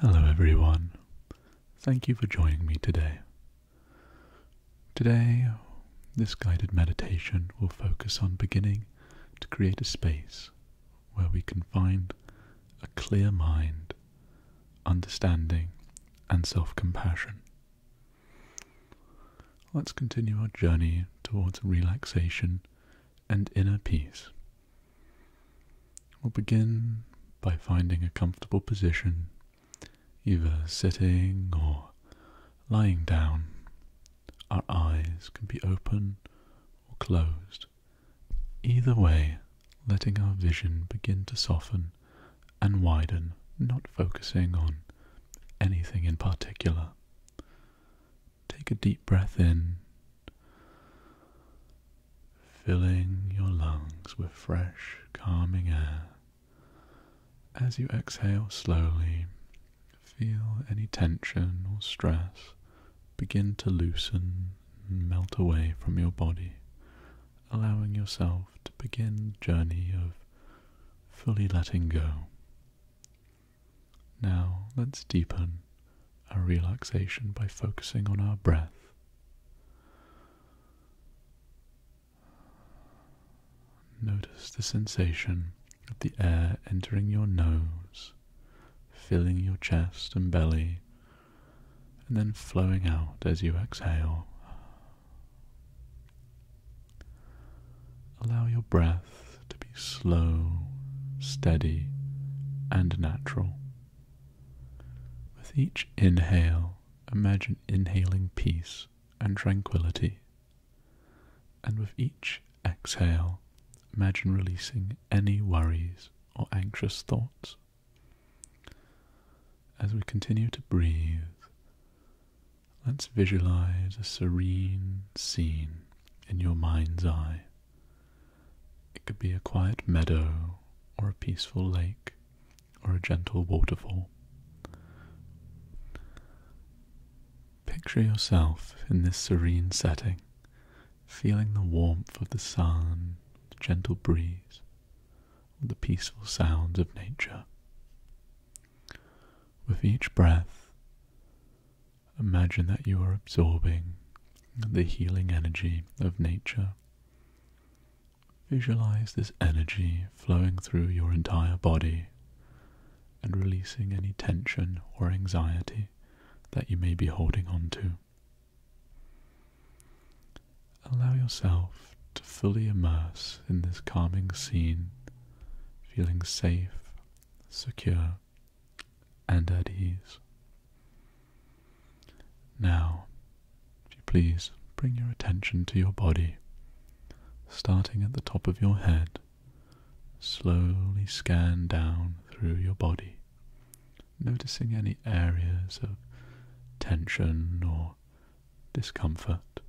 Hello, everyone. Thank you for joining me today. Today, this guided meditation will focus on beginning to create a space where we can find a clear mind, understanding, and self compassion. Let's continue our journey towards relaxation and inner peace. We'll begin by finding a comfortable position, either sitting or lying down. Our eyes can be open or closed. Either way, letting our vision begin to soften and widen, not focusing on anything in particular. Take a deep breath in, filling your lungs with fresh, calming air. As you exhale slowly, feel any tension or stress begin to loosen and melt away from your body, allowing yourself to begin the journey of fully letting go. Now let's deepen our relaxation by focusing on our breath. Notice the sensation of the air entering your nose, filling your chest and belly, and then flowing out as you exhale. Allow your breath to be slow, steady, and natural. With each inhale, imagine inhaling peace and tranquility. And with each exhale, imagine releasing any worries or anxious thoughts. As we continue to breathe, let's visualize a serene scene in your mind's eye. It could be a quiet meadow, or a peaceful lake, or a gentle waterfall. Picture yourself in this serene setting, feeling the warmth of the sun, the gentle breeze, or the peaceful sounds of nature. With each breath, Imagine that you are absorbing the healing energy of nature. Visualize this energy flowing through your entire body and releasing any tension or anxiety that you may be holding on to. Allow yourself to fully immerse in this calming scene, feeling safe, secure, and at ease. Now, if you please, bring your attention to your body, starting at the top of your head. Slowly scan down through your body, noticing any areas of tension or discomfort.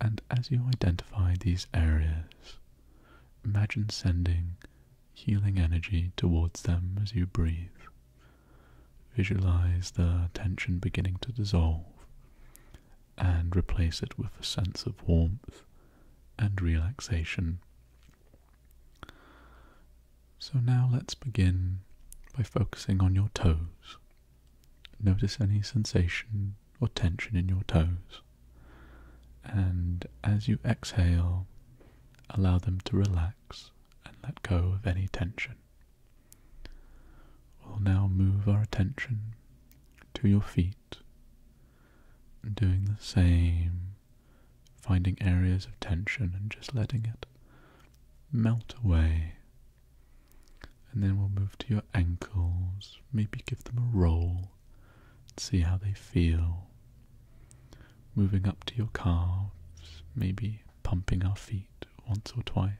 And as you identify these areas, Imagine sending healing energy towards them as you breathe. Visualize the tension beginning to dissolve and replace it with a sense of warmth and relaxation. So now let's begin by focusing on your toes. Notice any sensation or tension in your toes. And as you exhale, allow them to relax and let go of any tension. We'll now move our attention to your feet, doing the same, finding areas of tension and just letting it melt away. And then we'll move to your ankles, maybe give them a roll see how they feel. Moving up to your calves, maybe pumping our feet once or twice.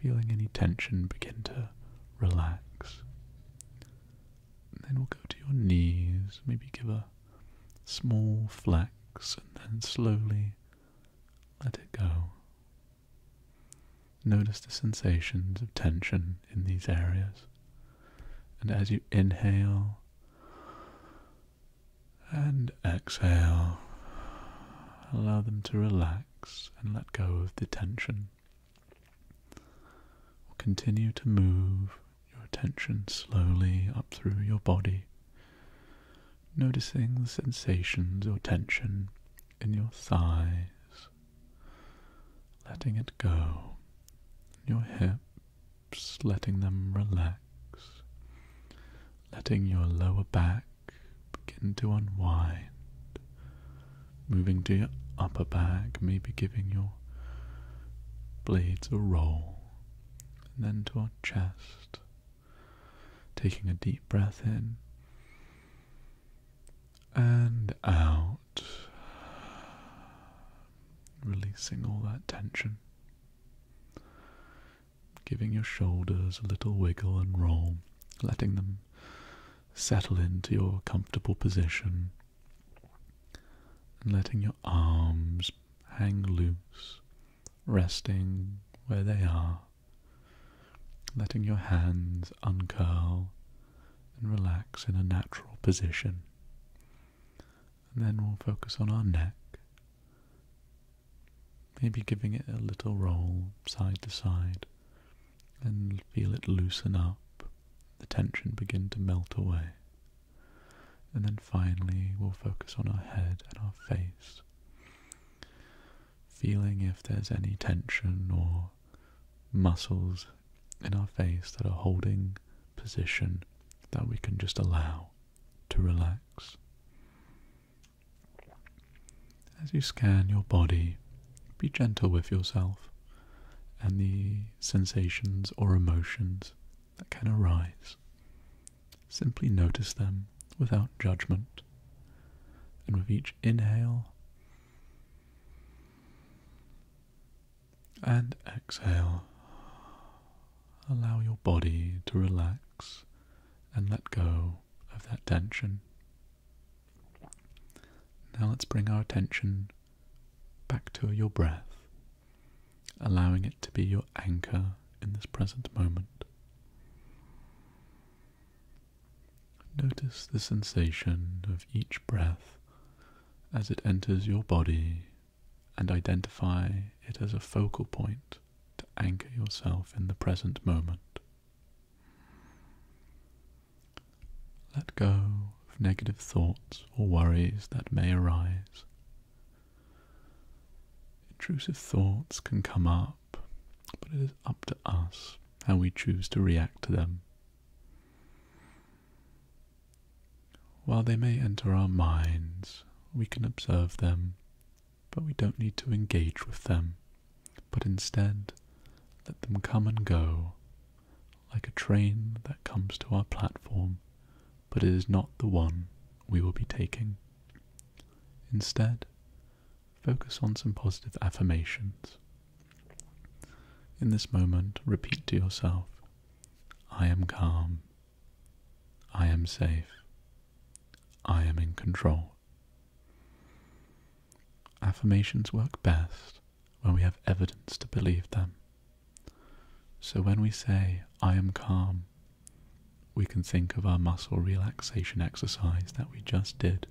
Feeling any tension begin to relax. then we'll go to your knees, maybe give a small flex and then slowly let it go. Notice the sensations of tension in these areas. And as you inhale and exhale, allow them to relax and let go of the tension. Continue to move your attention slowly up through your body, noticing the sensations or tension in your thighs, letting it go, your hips, letting them relax, letting your lower back begin to unwind, moving to your upper back, maybe giving your blades a roll, and then to our chest, taking a deep breath in and out, releasing all that tension, giving your shoulders a little wiggle and roll, letting them settle into your comfortable position, and letting your arms hang loose, resting where they are, letting your hands uncurl and relax in a natural position. And then we'll focus on our neck, maybe giving it a little roll side to side and feel it loosen up, the tension begin to melt away. And then finally, we'll focus on our head and our face feeling if there's any tension or muscles in our face that are holding position that we can just allow to relax. As you scan your body, be gentle with yourself and the sensations or emotions that can arise. Simply notice them without judgment. And with each inhale and exhale. Allow your body to relax and let go of that tension. Now let's bring our attention back to your breath, allowing it to be your anchor in this present moment. Notice the sensation of each breath as it enters your body and identify it as a focal point to anchor yourself in the present moment. Let go of negative thoughts or worries that may arise. Intrusive thoughts can come up but it is up to us how we choose to react to them. While they may enter our minds, we can observe them, but we don't need to engage with them, but instead let them come and go, like a train that comes to our platform, but it is not the one we will be taking. Instead, Focus on some positive affirmations. In this moment, repeat to yourself I am calm. I am safe. I am in control. Affirmations work best when we have evidence to believe them. So when we say, I am calm, we can think of our muscle relaxation exercise that we just did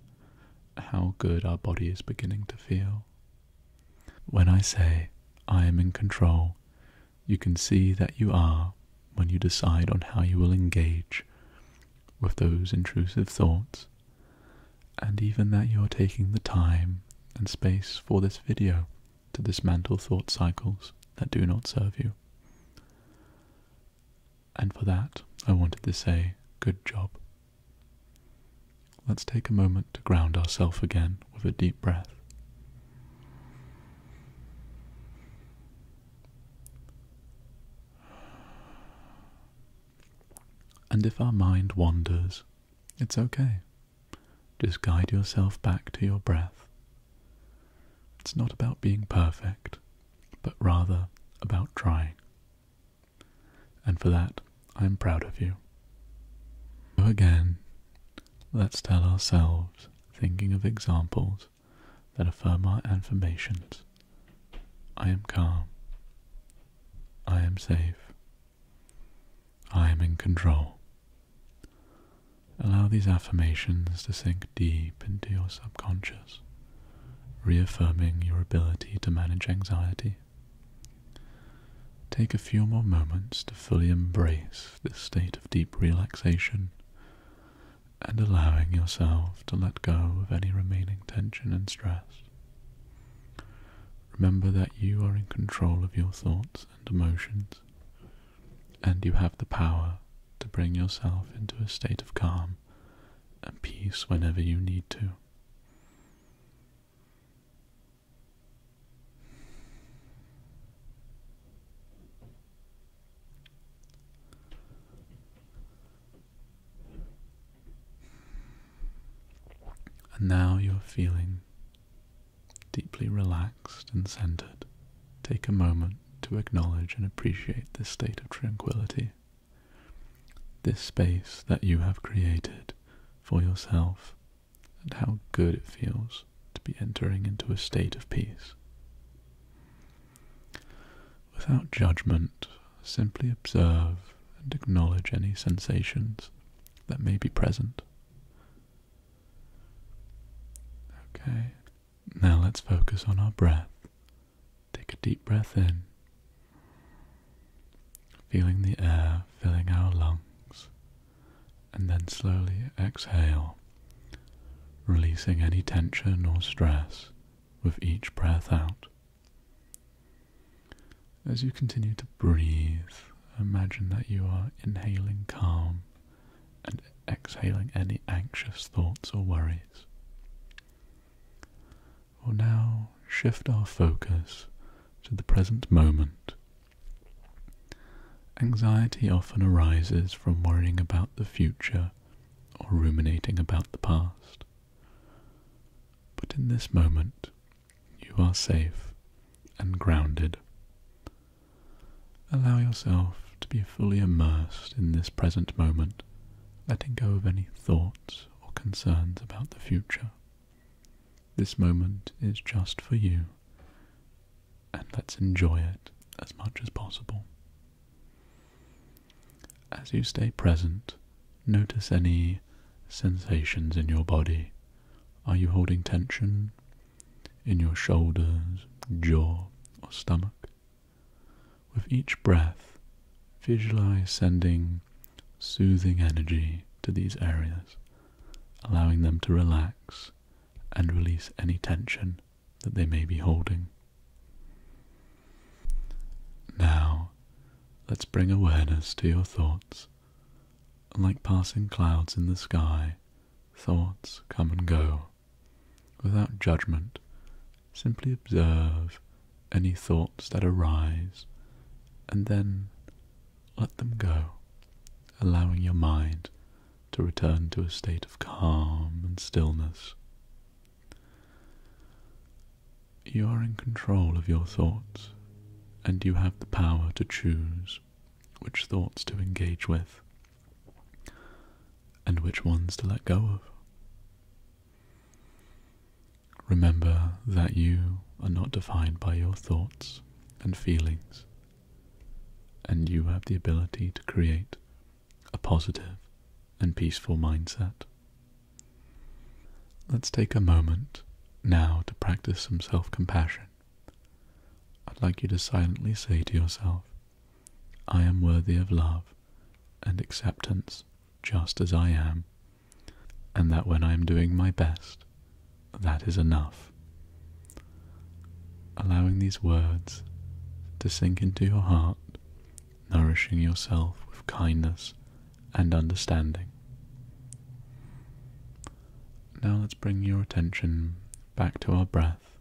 how good our body is beginning to feel. When I say, I am in control, you can see that you are when you decide on how you will engage with those intrusive thoughts, and even that you are taking the time and space for this video to dismantle thought cycles that do not serve you and for that I wanted to say good job. Let's take a moment to ground ourselves again with a deep breath. And if our mind wanders, it's okay. Just guide yourself back to your breath. It's not about being perfect, but rather about trying. And for that, I'm proud of you. So again, let's tell ourselves, thinking of examples that affirm our affirmations I am calm. I am safe. I am in control. Allow these affirmations to sink deep into your subconscious reaffirming your ability to manage anxiety. Take a few more moments to fully embrace this state of deep relaxation and allowing yourself to let go of any remaining tension and stress. Remember that you are in control of your thoughts and emotions, and you have the power to bring yourself into a state of calm and peace whenever you need to. And now you're feeling deeply relaxed and centered. Take a moment to acknowledge and appreciate this state of tranquility this space that you have created for yourself and how good it feels to be entering into a state of peace. Without judgment, simply observe and acknowledge any sensations that may be present. Okay, now let's focus on our breath Take a deep breath in, feeling the air filling our lungs, and then slowly exhale, releasing any tension or stress with each breath out. As you continue to breathe, imagine that you are inhaling calm and exhaling any anxious thoughts or worries. Or now shift our focus to the present moment. Anxiety often arises from worrying about the future or ruminating about the past. But in this moment, you are safe and grounded. Allow yourself to be fully immersed in this present moment letting go of any thoughts or concerns about the future. This moment is just for you, and let's enjoy it as much as possible. As you stay present, notice any sensations in your body. Are you holding tension in your shoulders, jaw, or stomach? With each breath, visualize sending soothing energy to these areas, allowing them to relax and release any tension that they may be holding. Now, let's bring awareness to your thoughts. Like passing clouds in the sky, thoughts come and go without judgment, simply observe any thoughts that arise and then let them go, allowing your mind to return to a state of calm and stillness. You are in control of your thoughts, and you have the power to choose which thoughts to engage with and which ones to let go of. Remember that you are not defined by your thoughts and feelings, and you have the ability to create a positive and peaceful mindset. Let's take a moment now to practice some self compassion. I'd like you to silently say to yourself, I am worthy of love and acceptance just as I am, and that when I am doing my best, that is enough. Allowing these words to sink into your heart, nourishing yourself with kindness and understanding. Now let's bring your attention back to our breath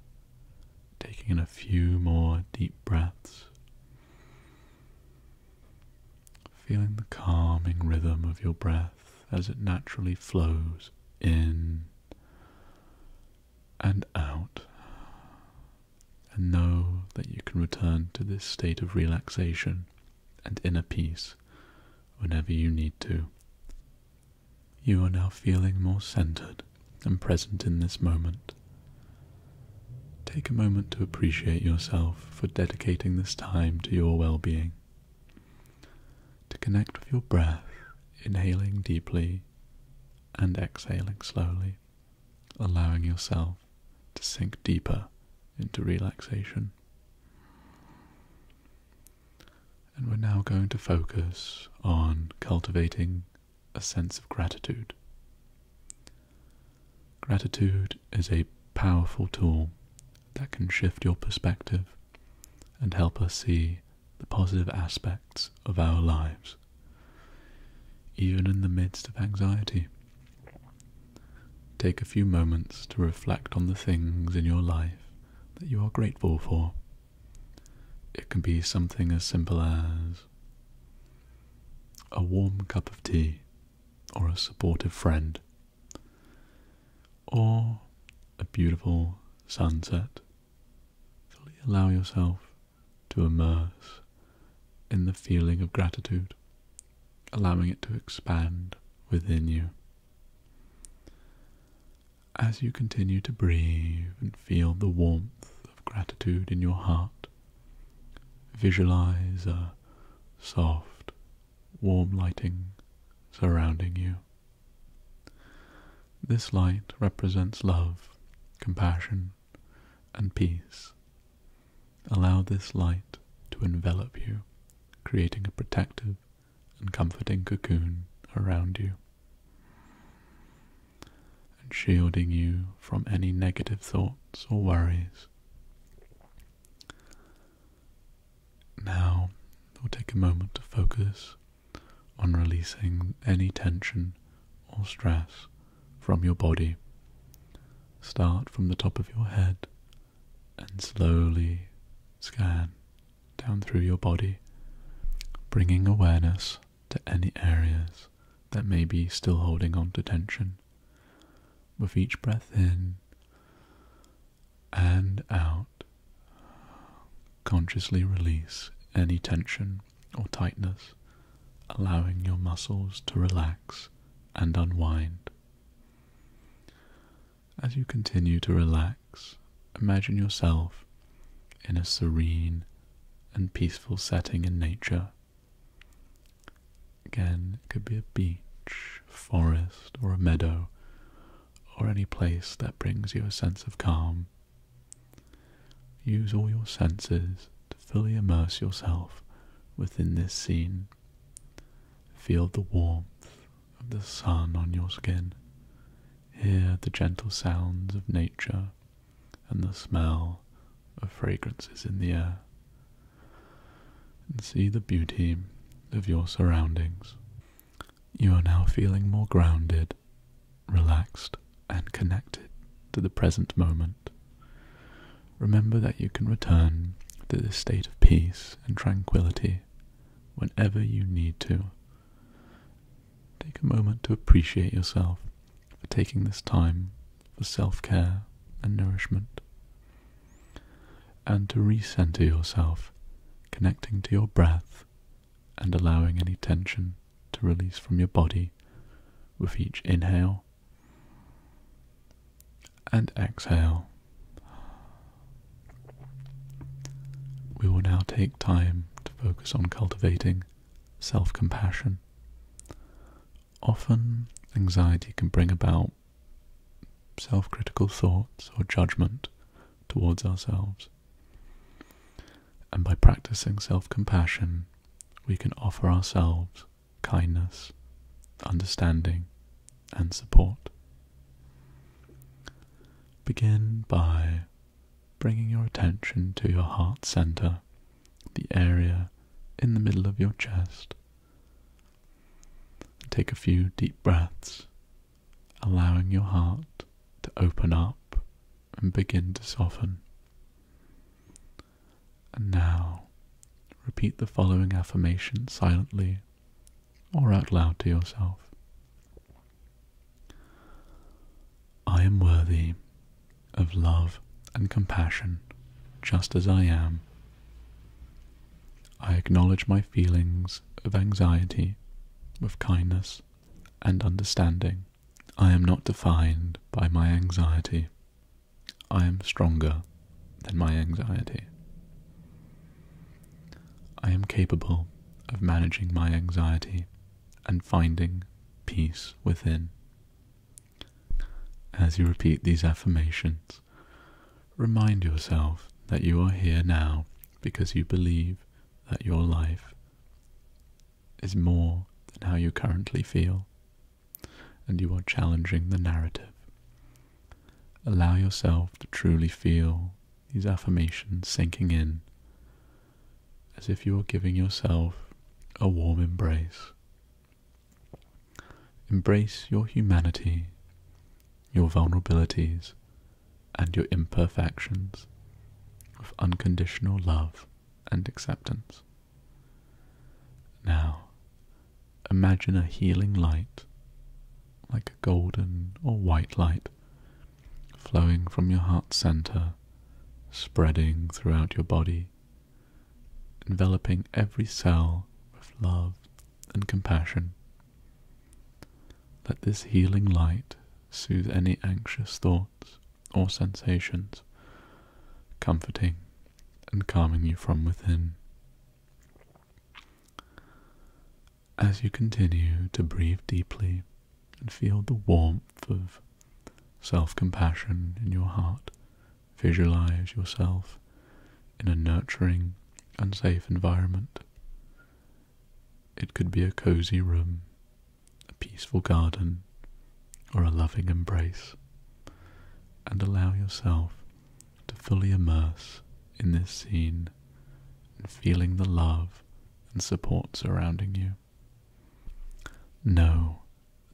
Taking in a few more deep breaths. Feeling the calming rhythm of your breath as it naturally flows in and out. And know that you can return to this state of relaxation and inner peace whenever you need to. You are now feeling more centered and present in this moment. Take a moment to appreciate yourself for dedicating this time to your well being. To connect with your breath, inhaling deeply and exhaling slowly, allowing yourself to sink deeper into relaxation. And we're now going to focus on cultivating a sense of gratitude. Gratitude is a powerful tool that can shift your perspective and help us see the positive aspects of our lives, even in the midst of anxiety. Take a few moments to reflect on the things in your life that you are grateful for it can be something as simple as a warm cup of tea or a supportive friend or a beautiful sunset. Fully allow yourself to immerse in the feeling of gratitude, allowing it to expand within you. As you continue to breathe and feel the warmth of gratitude in your heart. Visualize a soft, warm lighting surrounding you. This light represents love, compassion, and peace. Allow this light to envelop you, creating a protective and comforting cocoon around you and shielding you from any negative thoughts or worries. Now, we'll take a moment to focus on releasing any tension or stress from your body. Start from the top of your head and slowly scan down through your body, bringing awareness to any areas that may be still holding on to tension. With each breath in and out, consciously release any tension or tightness, allowing your muscles to relax and unwind. As you continue to relax, imagine yourself in a serene and peaceful setting in nature. Again, it could be a beach, forest, or a meadow, or any place that brings you a sense of calm. Use all your senses to fully immerse yourself within this scene. Feel the warmth of the sun on your skin. Hear the gentle sounds of nature and the smell of fragrances in the air, and see the beauty of your surroundings. You are now feeling more grounded, relaxed, and connected to the present moment. Remember that you can return to this state of peace and tranquility whenever you need to, Take a moment to appreciate yourself for taking this time for self care and nourishment. And to recenter yourself, connecting to your breath and allowing any tension to release from your body with each inhale and exhale. We will now take time to focus on cultivating self compassion. Often, anxiety can bring about self critical thoughts or judgment towards ourselves. And by practicing self compassion, we can offer ourselves kindness, understanding, and support. Begin by bringing your attention to your heart center, the area in the middle of your chest. Take a few deep breaths, allowing your heart to open up and begin to soften. And now, repeat the following affirmation silently or out loud to yourself. I am worthy of love and compassion just as I am. I acknowledge my feelings of anxiety with kindness and understanding. I am not defined by my anxiety. I am stronger than my anxiety. I am capable of managing my anxiety and finding peace within. As you repeat these affirmations, remind yourself that you are here now because you believe that your life is more than how you currently feel, and you are challenging the narrative. Allow yourself to truly feel these affirmations sinking in as if you were giving yourself a warm embrace. Embrace your humanity, your vulnerabilities, and your imperfections with unconditional love and acceptance. Now, imagine a healing light, like a golden or white light, flowing from your heart center, spreading throughout your body, enveloping every cell with love and compassion. Let this healing light soothe any anxious thoughts or sensations, comforting and calming you from within. As you continue to breathe deeply and feel the warmth of self compassion in your heart, visualize yourself in a nurturing and safe environment. It could be a cozy room, a peaceful garden, or a loving embrace, and allow yourself to fully immerse in this scene and feeling the love and support surrounding you. Know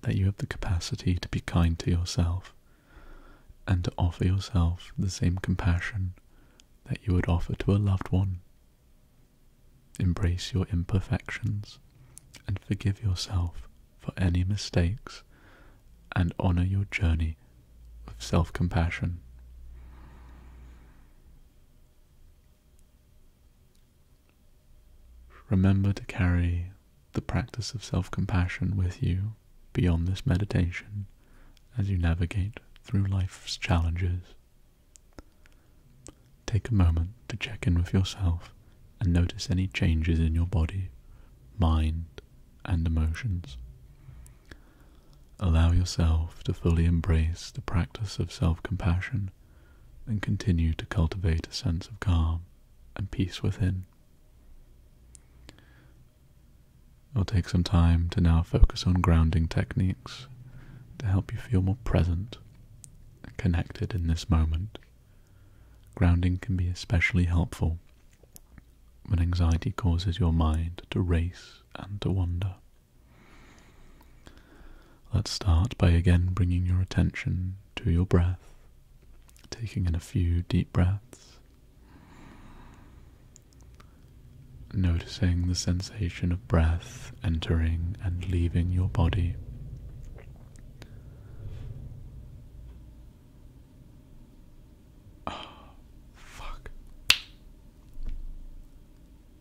that you have the capacity to be kind to yourself and to offer yourself the same compassion that you would offer to a loved one. Embrace your imperfections and forgive yourself for any mistakes and honor your journey of self compassion. Remember to carry the practice of self compassion with you beyond this meditation as you navigate through life's challenges. Take a moment to check in with yourself and notice any changes in your body, mind, and emotions. Allow yourself to fully embrace the practice of self compassion and continue to cultivate a sense of calm and peace within. It'll take some time to now focus on grounding techniques to help you feel more present and connected in this moment. Grounding can be especially helpful when anxiety causes your mind to race and to wander. Let's start by again bringing your attention to your breath, taking in a few deep breaths, noticing the sensation of breath entering and leaving your body. Oh, fuck.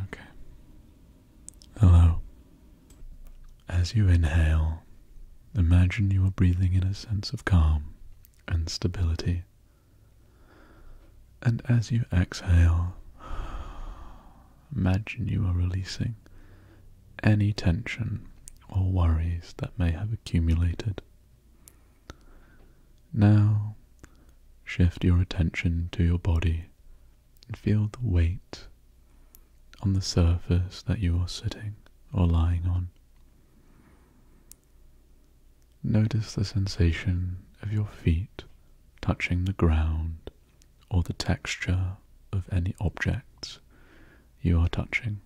Okay. Hello. As you inhale, imagine you are breathing in a sense of calm and stability. And as you exhale, imagine you are releasing any tension or worries that may have accumulated. Now, shift your attention to your body and feel the weight on the surface that you are sitting or lying on. Notice the sensation of your feet touching the ground or the texture of any objects you are touching.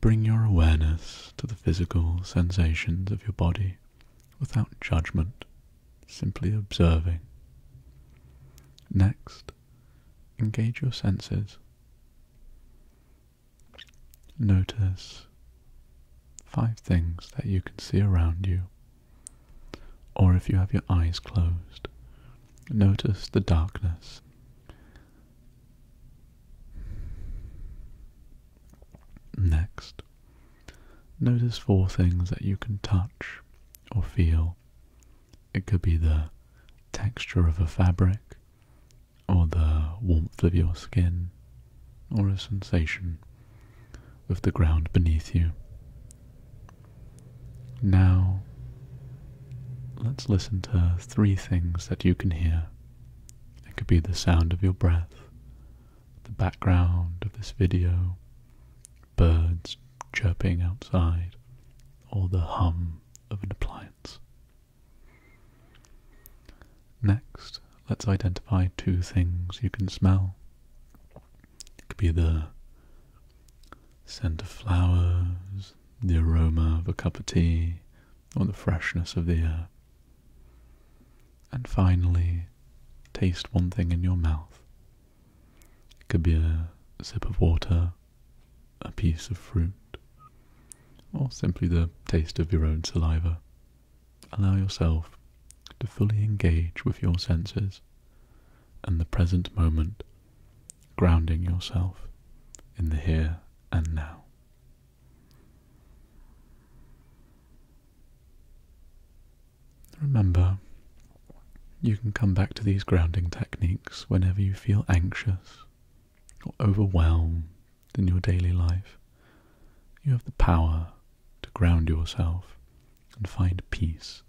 Bring your awareness to the physical sensations of your body without judgment, simply observing. Next, engage your senses. Notice five things that you can see around you, or if you have your eyes closed, notice the darkness. Next, notice four things that you can touch or feel. It could be the texture of a fabric, or the warmth of your skin, or a sensation of the ground beneath you. Now, Let's listen to three things that you can hear. It could be the sound of your breath, the background of this video, birds chirping outside, or the hum of an appliance. Next, let's identify two things you can smell. It could be the scent of flowers, the aroma of a cup of tea or the freshness of the air. And finally, taste one thing in your mouth. It could be a sip of water, a piece of fruit, or simply the taste of your own saliva. Allow yourself to fully engage with your senses and the present moment grounding yourself in the here and now. Remember, you can come back to these grounding techniques whenever you feel anxious or overwhelmed in your daily life. You have the power to ground yourself and find peace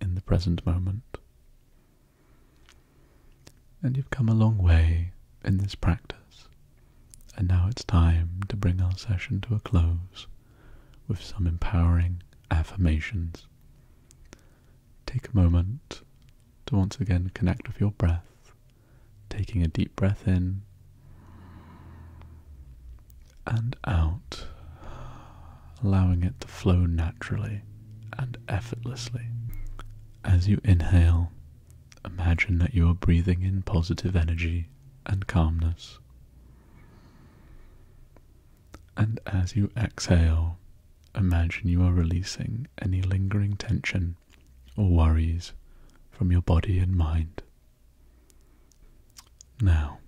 in the present moment. And you've come a long way in this practice. And now it's time to bring our session to a close with some empowering affirmations. Take a moment to once again connect with your breath, taking a deep breath in and out, allowing it to flow naturally and effortlessly. As you inhale, imagine that you are breathing in positive energy and calmness. And as you exhale, imagine you are releasing any lingering tension or worries from your body and mind. Now,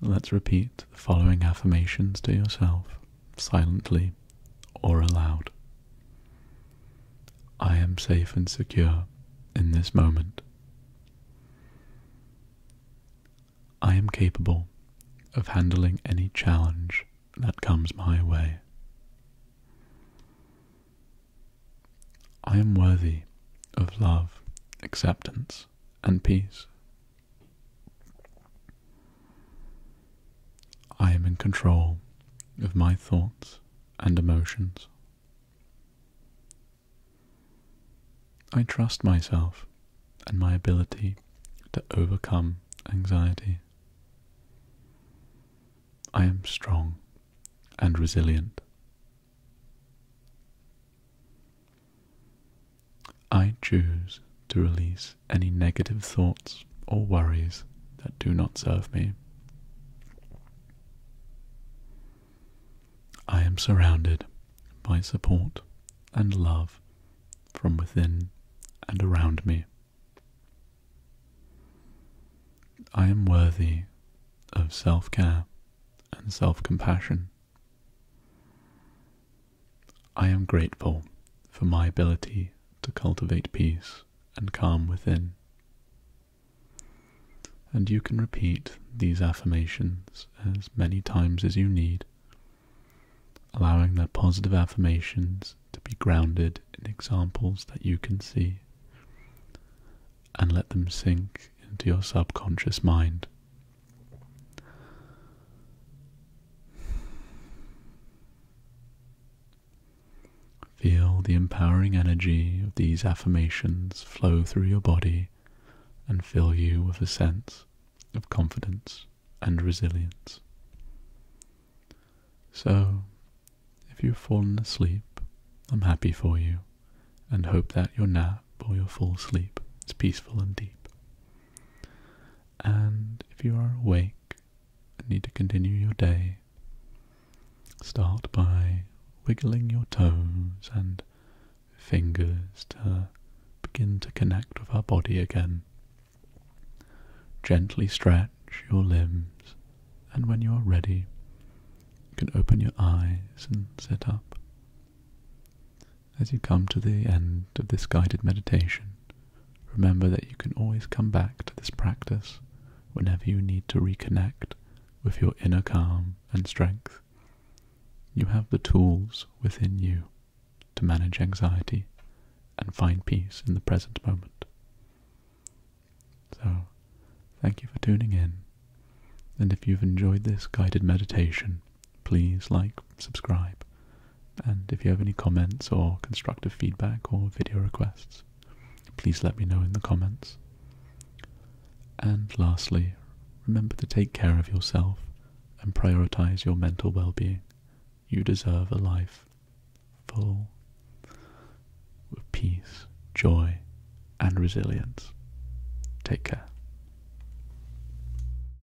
let's repeat the following affirmations to yourself silently or aloud. I am safe and secure in this moment. I am capable of handling any challenge that comes my way. I am worthy of love, acceptance, and peace I am in control of my thoughts and emotions. I trust myself and my ability to overcome anxiety. I am strong and resilient. I choose to release any negative thoughts or worries that do not serve me. I am surrounded by support and love from within and around me. I am worthy of self care and self compassion. I am grateful for my ability to cultivate peace and calm within. And you can repeat these affirmations as many times as you need, allowing their positive affirmations to be grounded in examples that you can see, and let them sink into your subconscious mind Feel the empowering energy of these affirmations flow through your body and fill you with a sense of confidence and resilience. So, if you've fallen asleep, I'm happy for you and hope that your nap or your full sleep is peaceful and deep. And if you are awake and need to continue your day, start by wiggling your toes and fingers to begin to connect with our body again. Gently stretch your limbs, and when you are ready, you can open your eyes and sit up. As you come to the end of this guided meditation, remember that you can always come back to this practice whenever you need to reconnect with your inner calm and strength. You have the tools within you to manage anxiety and find peace in the present moment. So, thank you for tuning in. And if you've enjoyed this guided meditation, please like, subscribe, and if you have any comments or constructive feedback or video requests, please let me know in the comments. And lastly, remember to take care of yourself and prioritize your mental well being. You deserve a life full of peace, joy, and resilience. Take care.